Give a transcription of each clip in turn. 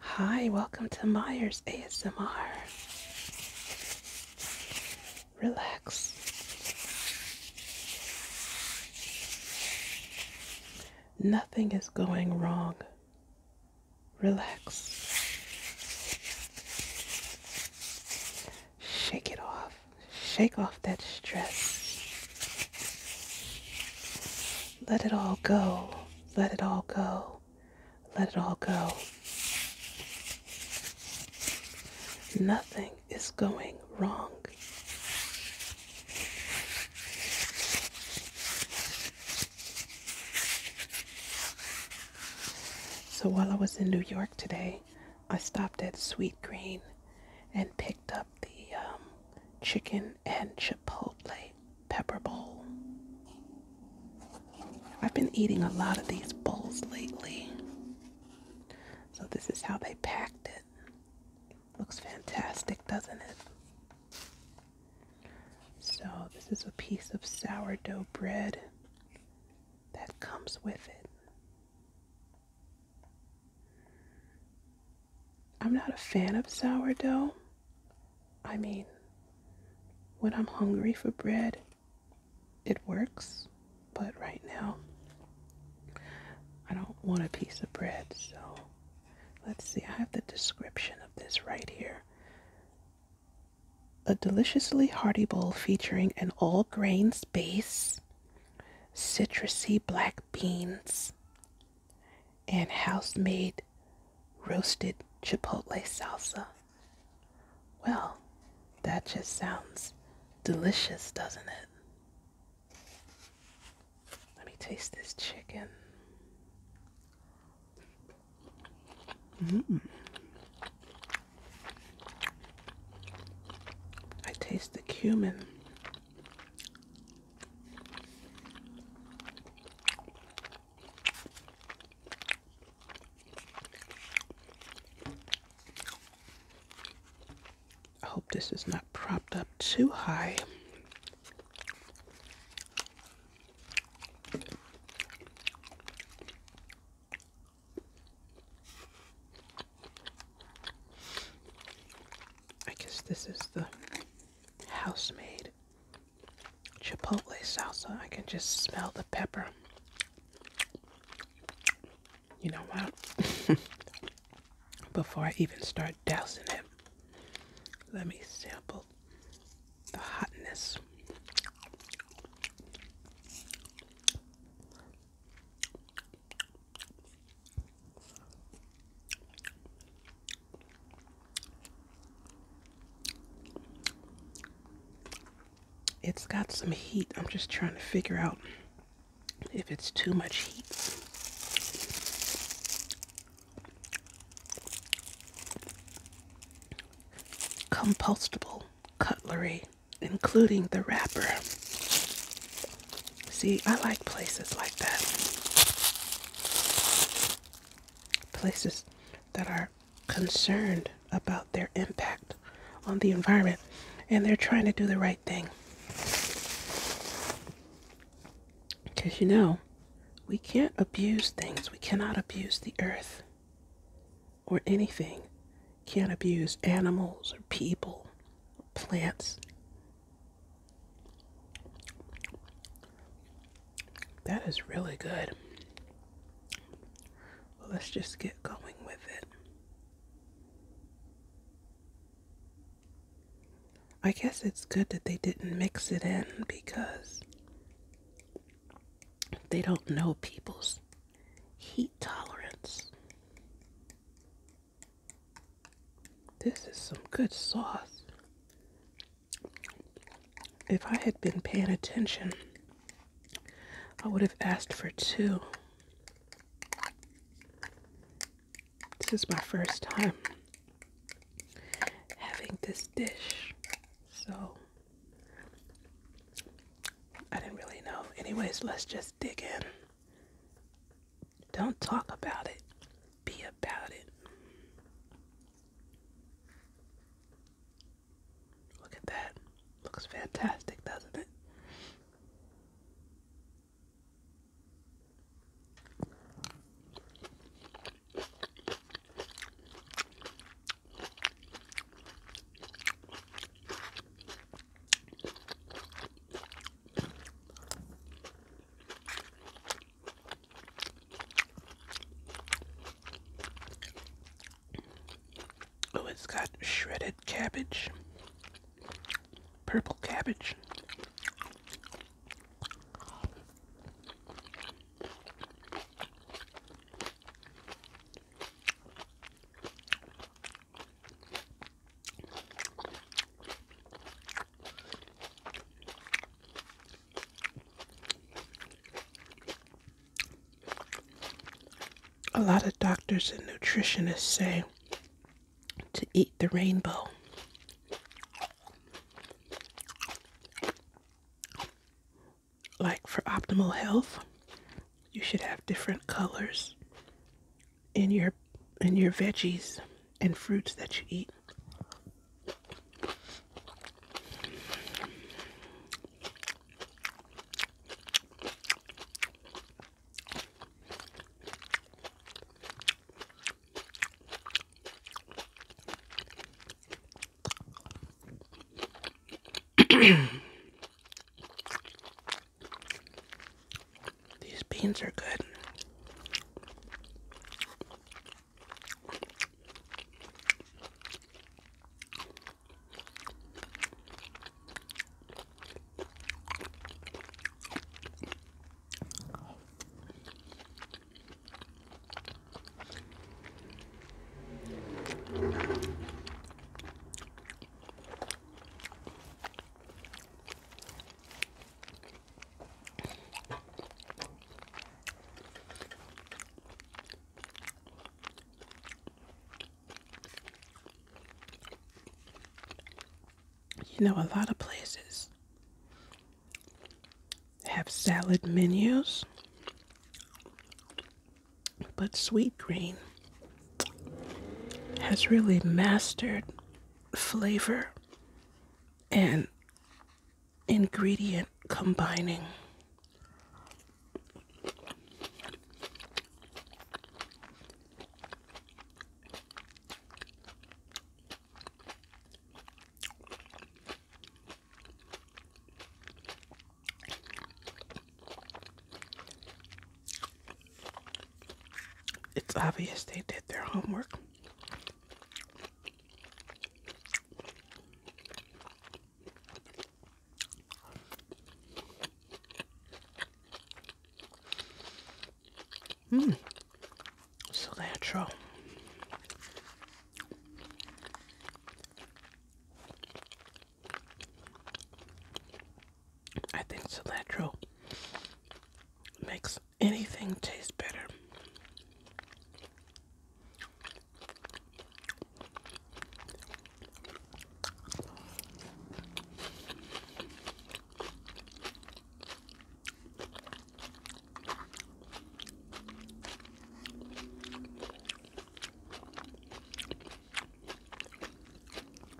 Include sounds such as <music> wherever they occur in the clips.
Hi, welcome to Myers ASMR. Relax. Nothing is going wrong. Relax. Shake it off. Shake off that stress. Let it all go. Let it all go. Let it all go. Nothing is going wrong. So while I was in New York today, I stopped at Sweet Green and picked up the um, chicken and chipotle pepper bowl. I've been eating a lot of these bowls lately. So this is how they packed it. Looks fantastic, doesn't it? So this is a piece of sourdough bread that comes with it. I'm not a fan of sourdough. I mean, when I'm hungry for bread, it works, but right now, I don't want a piece of bread, so let's see. I have the description of this right here. A deliciously hearty bowl featuring an all grains base, citrusy black beans, and house made roasted chipotle salsa. Well, that just sounds delicious, doesn't it? Let me taste this chicken. Mm. I taste the cumin. I hope this is not propped up too high. I guess this is the Housemade chipotle salsa. I can just smell the pepper. You know what? <laughs> Before I even start dousing it, let me sample the hotness. It's got some heat. I'm just trying to figure out if it's too much heat. Compostable cutlery, including the wrapper. See, I like places like that. Places that are concerned about their impact on the environment and they're trying to do the right thing. Because you know, we can't abuse things. We cannot abuse the earth or anything. Can't abuse animals or people plants. That is really good. Let's just get going with it. I guess it's good that they didn't mix it in because they don't know people's heat tolerance. This is some good sauce. If I had been paying attention, I would have asked for two. This is my first time having this dish, so I didn't really know. Anyways, let's just dig in. Don't talk about it. Be about it. Look at that. Looks fantastic, doesn't it? Oh, it's got shredded cabbage, purple cabbage. A lot of doctors and nutritionists say to eat the rainbow. Like for optimal health, you should have different colors in your in your veggies and fruits that you eat. These beans are good. You know, a lot of places have salad menus, but Sweet Green has really mastered flavor and ingredient combining. It's obvious they did their homework. Mmm, cilantro. I think cilantro makes anything taste better.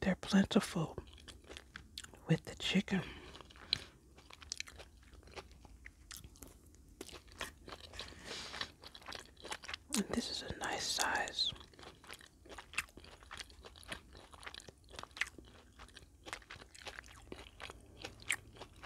They're plentiful with the chicken. And this is a nice size.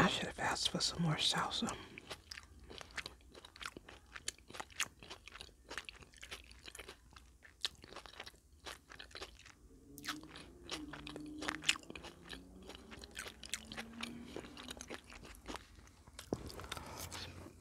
I should have asked for some more salsa.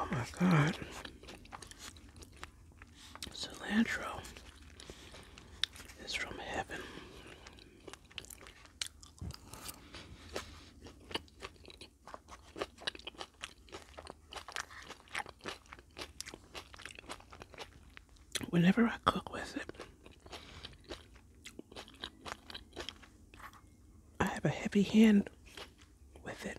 Oh my god. Cilantro is from heaven whenever I cook with it, I have a heavy hand with it.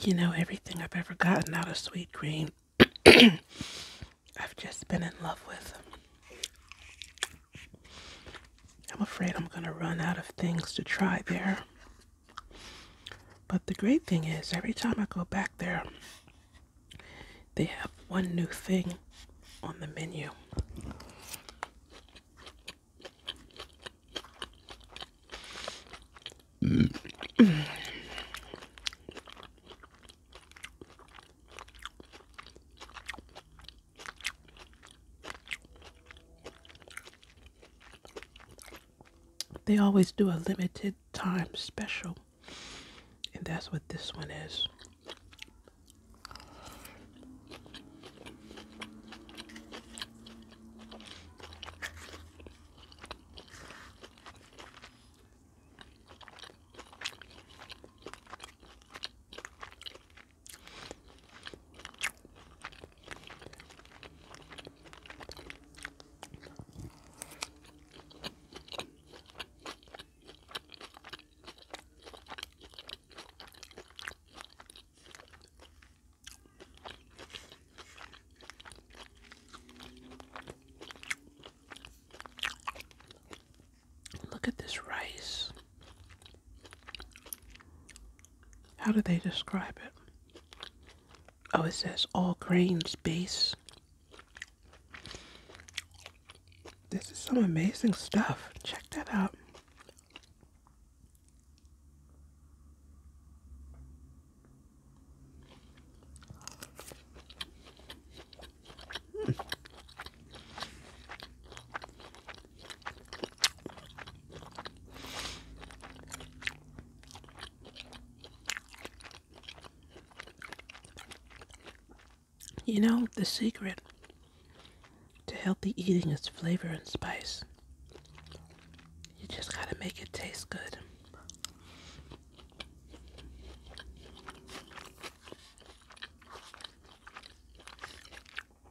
You know, everything I've ever gotten out of sweet green, <clears throat> I've just been in love with. I'm afraid I'm going to run out of things to try there. But the great thing is, every time I go back there, they have one new thing on the menu. They always do a limited time special, and that's what this one is. Look at this rice. How do they describe it? Oh, it says all grains base. This is some amazing stuff. Check that out. You know, the secret to healthy eating is flavor and spice. You just gotta make it taste good.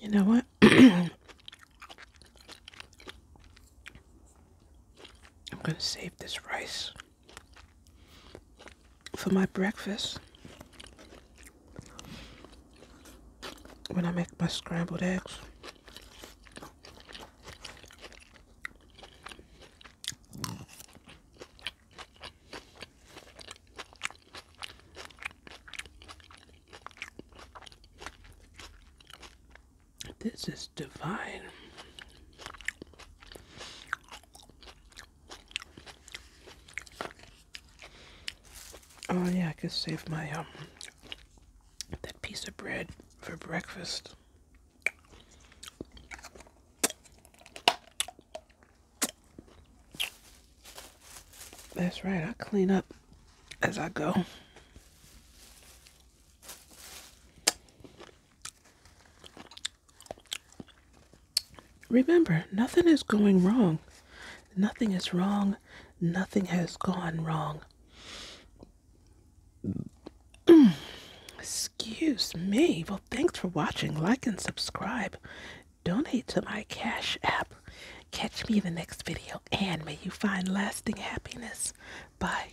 You know what? <clears throat> I'm going to save this rice for my breakfast when I make my scrambled eggs. This is divine. Oh yeah, I can save my um that piece of bread for breakfast. That's right, I clean up as I go. Remember, nothing is going wrong. Nothing is wrong. Nothing has gone wrong. <clears throat> Excuse me. Well, thanks for watching. Like and subscribe. Donate to my Cash App. Catch me in the next video, and may you find lasting happiness. Bye.